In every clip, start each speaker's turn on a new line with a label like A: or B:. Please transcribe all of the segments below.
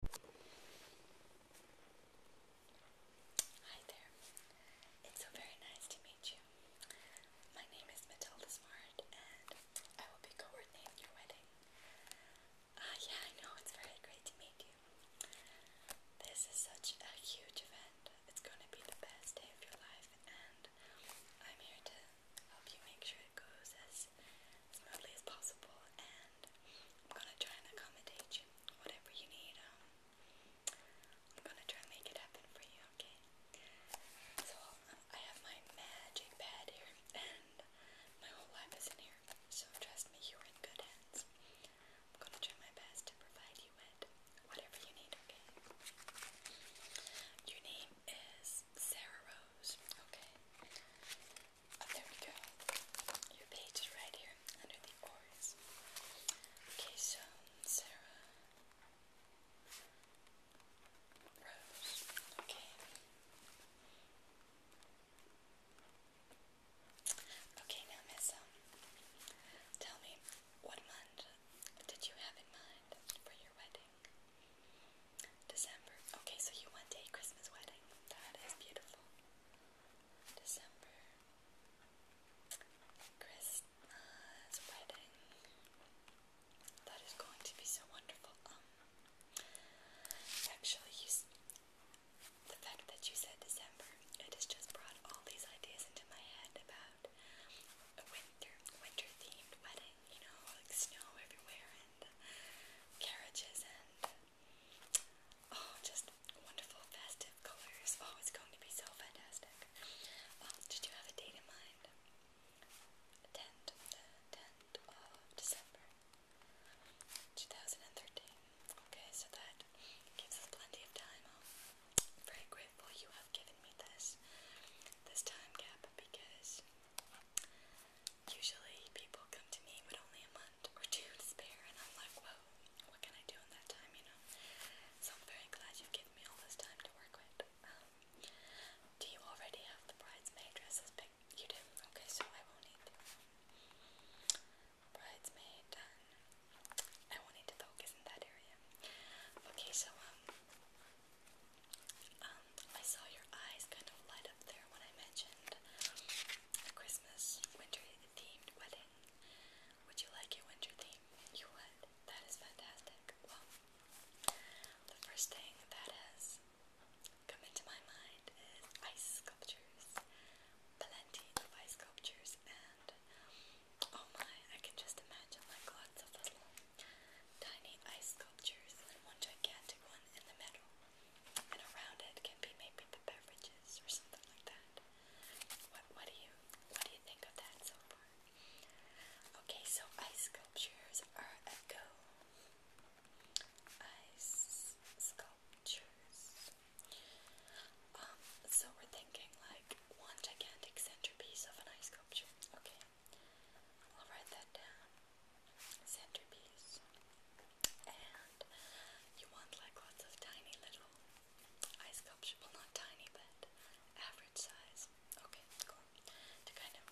A: Hi there. It's so very nice to meet you. My name is Matilda Smart and I will be coordinating your wedding. Ah, yeah, I know, it's very great to meet you. This is such a huge event. It's going to be the best day of your life and I'm here to help you make sure it goes as smoothly as possible and I'm gonna try and accommodate you. Whatever you need, um, I'm gonna try and make it happen for you, okay? So, I have my magic pad here and my whole life is in here, so trust me, you're in good hands. I'm gonna try my best to provide you with whatever you need, okay? Your name is Sarah Rose, okay? Oh, there we go. Your page is right here under the oars. Okay, so Sarah Okay. Okay, now, Miss, um, tell me, what month did you have in mind for your wedding? December. Okay, so you went to a Christmas wedding. That is beautiful. December. Christmas wedding. That is going to be so wonderful. Um, actually, The fact that you said December, it has just brought all these ideas into my head about a winter, winter-themed wedding falling, you know, like snow everywhere and uh, carriages and oh, just wonderful festive colors. Oh, it's going to be so fantastic. Um, did you have a date in mind? 10th of December 2013. Okay, so that gives us plenty of time. I'm very grateful you have given me this, this time gap because Usually people come to me with only a month or two to spare, and I'm like, whoa, what can I do in that time, you know? So I'm very glad you've given me all this time to work with. Um, do you already have the bridesmaid dresses picked? You do? Okay, so I won't need them. Bridesmaid done. I will need to focus in that area. Okay, so, um, um, I saw your eyes kind of light up there when I mentioned a Christmas winter themed wedding. Would you like a winter theme? You would. That is fantastic. Well, the first thing that has come into my mind is ice sculptures. Plenty of ice sculptures, and oh my, I can just imagine like lots of little Tiny ice sculptures and one gigantic one in the middle. And around it can be maybe the beverages or something like that. What do you what do you think of that Okay, so ice sculptures are a Ice sculptures. Um, so we're thinking like one gigantic centerpiece of an ice sculpture. Okay. I'll write that down. Centerpiece. And you want like lots of tiny little ice sculpture. not tiny, but average size. Okay, To kind of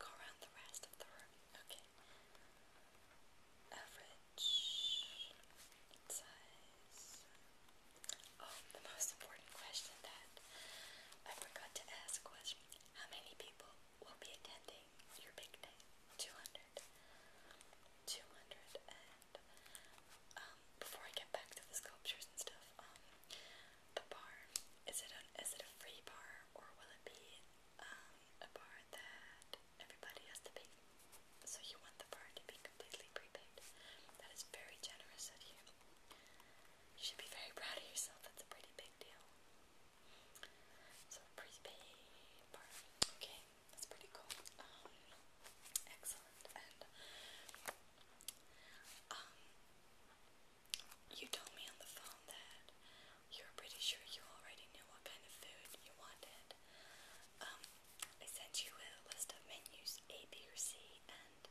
A: go around the rest of the room. Okay. Average size Oh, the most important question that I forgot to ask was how many people will be attending your big day? 200. um, before I get back to the sculptures and stuff, um, the bar, is it, a, is it a free bar or will it be um, a bar that everybody has to pay? So you want the bar to be completely prepaid. That is very generous of you. You should be very proud of yourself. That's a pretty big deal. So prepaid bar. Okay, that's pretty cool. Um, excellent. And um, you told me on the phone that you were pretty sure you already knew what kind of food you wanted. Um, I sent you a list of menus A, B, or C, and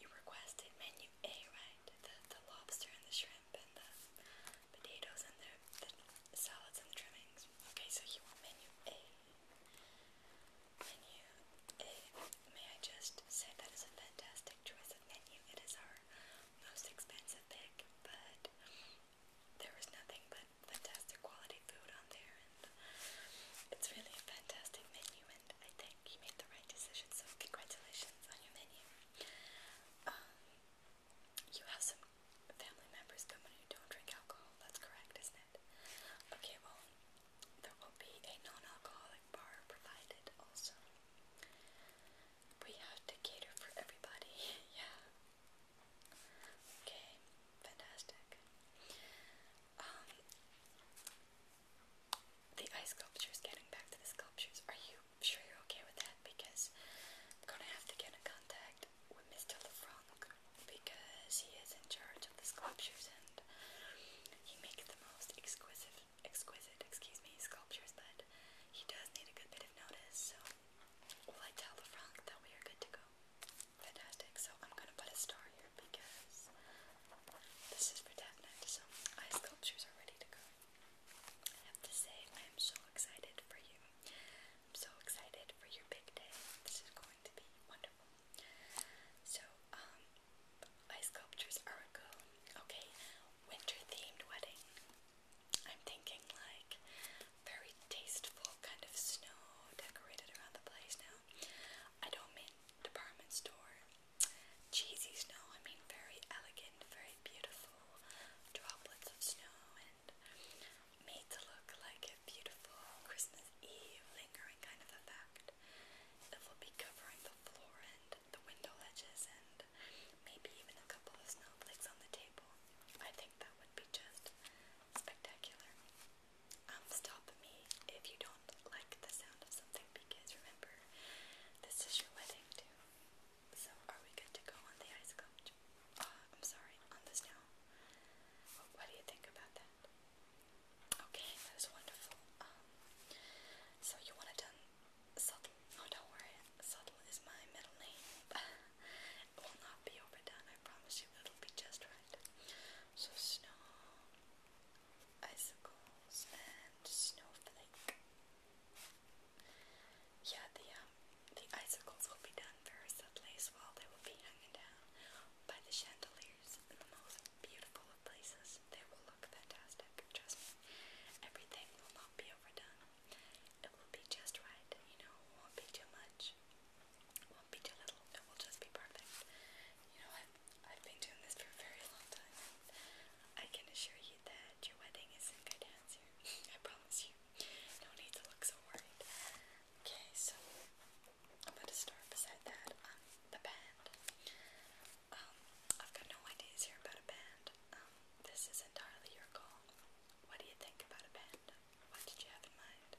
A: you requested menu A, right? The, the lobster and the shrimp and the potatoes and the, the salads and the trimmings. Okay, so you want menu A. Menu A. May I just say that is a fantastic choice of menu. It is our most expensive pick, but there is nothing but fantastic quality food on there, and it's really a fantastic menu, and I think you made the right decision, so congratulations on your menu. Um, you have some family members coming who don't drink alcohol, that's correct, isn't it? Okay, well, there will be a non-alcoholic bar provided also. We have to cater for everybody, yeah. Okay, fantastic. Um, the ice sculptures, getting back to the sculptures, are you sure you're okay with that? Because I'm gonna have to get in contact with Mr. LeFranc because he is in charge of the sculptures and he makes the most exquisite, exquisite, excuse me, sculptures, but he does need a good bit of notice, so will I tell LeFranc that we are good to go? Fantastic. So I'm gonna put a star here because this is for definite. So my sculptures are ready to go. I have to say I am so excited for you. I'm so excited for your big day. This is going to be wonderful. So, ice um, sculptures are a Okay, winter themed wedding. I'm thinking like very tasteful kind of snow decorated around the place now. I don't mean department store cheesy snow, I mean very elegant, very beautiful droplets of snow and made to look like a beautiful Christmas Eve lingering kind of effect that will be covering the floor and the window ledges and maybe even a couple of snowflakes on the table. I think that would be just spectacular um, stop me if you don't like the sound of something because remember, this is your wedding too. So, are we good to go on the ice sculpture? Uh, I'm sorry, on the snow. What do you think about that? Okay, that is wonderful. Um, so you want to done subtle? No, oh, don't worry. Subtle is my middle name. it will not be overdone, I promise you, it'll be just right. So, snow, icicles, and snowflake. Yeah, the, um, the icicles will be done very subtly as well. They will be hanging down by the chandeliers in the most beautiful of places. They will look fantastic, trust me. Everything will not be overdone. It will be just right, you know, won't be too much, won't be too little, it will just be perfect. You know, I've, I've been doing this for a very long time, I can assure you that your wedding is in good hands here. I promise you. No need to look so worried. Okay, so I'm going to start beside that, um, the band. Um, I've got no ideas here about a band. Um, this is entirely your call. What do you think about a band? What did you have in mind?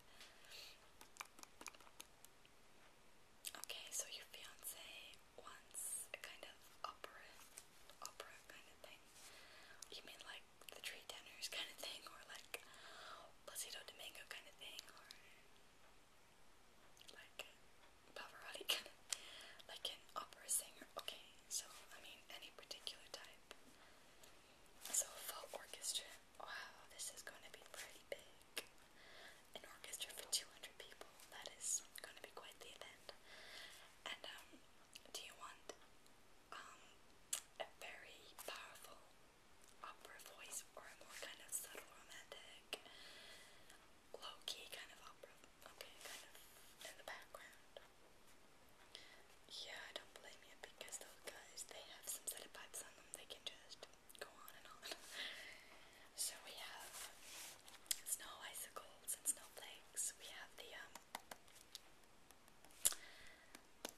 A: Okay, so your fiance wants a kind of opera, opera kind of thing. You mean like the Three Tenors kind of thing, or like Placido Domingo kind of thing, or like Pavarotti kind of, like an opera singer? Okay, so I mean any particular type. So full orchestra. Wow, this is going to be pretty big. An orchestra for 200 people. That is going to be quite the event. And um, do you want um a very powerful opera voice or a more kind of subtle romantic, low key kind of opera? Okay, kind of in the background. Yeah, I don't blame you because those guys, they have some set of pipes on them, they can just go on and on. so we have snow icicles and snowflakes. We have the um,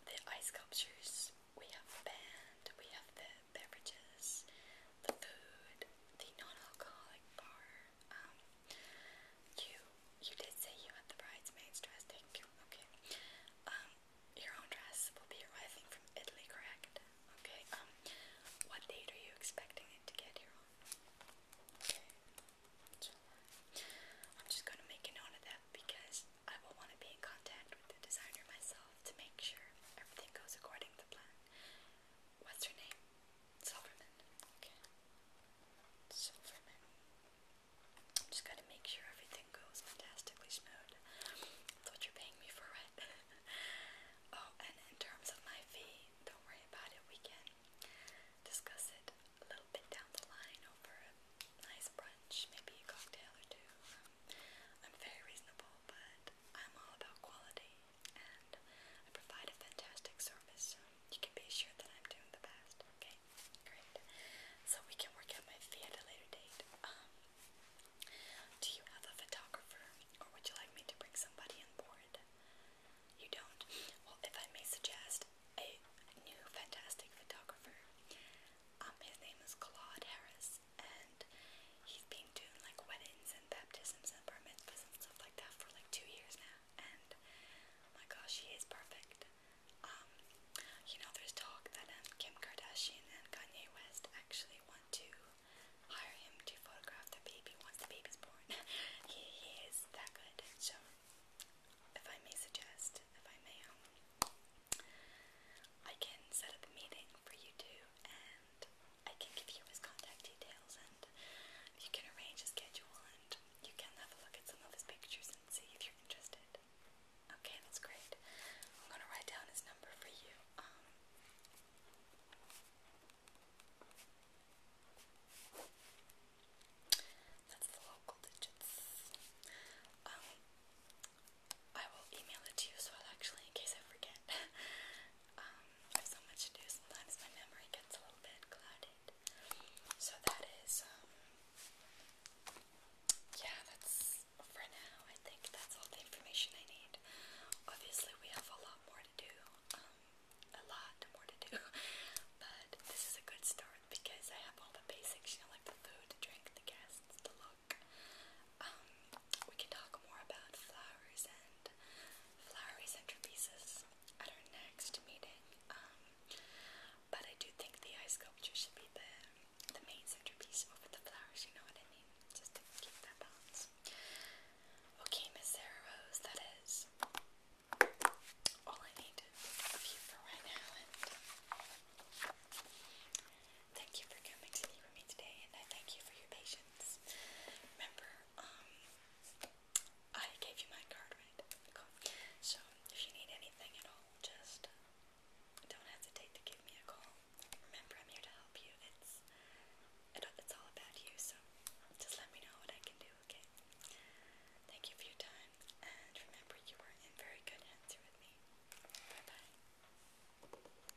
A: the ice sculptures, we have band, we have the beverages, the food, the non-alcoholic bar, um, you you did say you had the bridesmaid's dress. Thank you. Okay. Um, your own dress will be arriving from Italy, correct? Okay. Um, what date are you expecting it to get here on? Okay. I'm just gonna make a note of that because I will want to be in contact with the designer myself to make sure everything goes according to plan. What's her name? Silverman. Okay. Silverman. I'm just gotta make sure everything goes fantastically smooth. That's what you're paying me for, right? oh, and in terms of my fee, don't worry about it. We can discuss it a little bit down the line over a nice brunch, maybe a cocktail or two. I'm very reasonable, but I'm all about quality and I provide a fantastic service, so you can be assured that I'm doing the best. Okay, great. So we can work out my fee at a later date. Um, do you have a photographer, or would you like me to bring somebody on board? You don't. Well, if I may suggest a new fantastic photographer. Um, his name is Claude Harris, and he's been doing like weddings and baptisms and bar and stuff like that for like two years now and oh my gosh, he is perfect. Um, you know, there's talk that um, Kim Kardashian and Kanye West actually want to hire him to photograph the baby once the baby's born. he, is that good. So, if I may suggest, if I may, um, I can set up a meeting for you two and I can give you his contact details and you can arrange a schedule and you can have a look at some of his pictures and see if you're interested. Okay, that's great. I'm gonna write down his number for you. Um, that's the local digits. Um, I will email it to you as well, actually, in case I forget. Um, I have so much to do, sometimes my memory gets a little bit clouded. So that is, um, yeah, that's for now. I think that's all the information I need. Obviously, we have a lot more to do, um, a lot more to do, but this is a good start because I have all the basics, you know, like the food, the drink, the guests, the look. Um, we can talk more about flowers and flowery centerpieces at our next meeting. Um, but I do think the eye sculpture should be the the main centerpiece over the flowers. You know what I mean? Just to keep that balance. Okay, Miss Sarah Rose, that is all I need of you for right now. thank you for coming to meet me today, and I thank you for your patience. Remember, um, I gave you my card, right? So, if you need anything at all, just uh, don't hesitate to give me a call. Remember, I'm here to help you. It's, it's all about you, so just let me know what I can do, okay? Thank you for your time, and remember, you are in very good hands here with me. Bye-bye.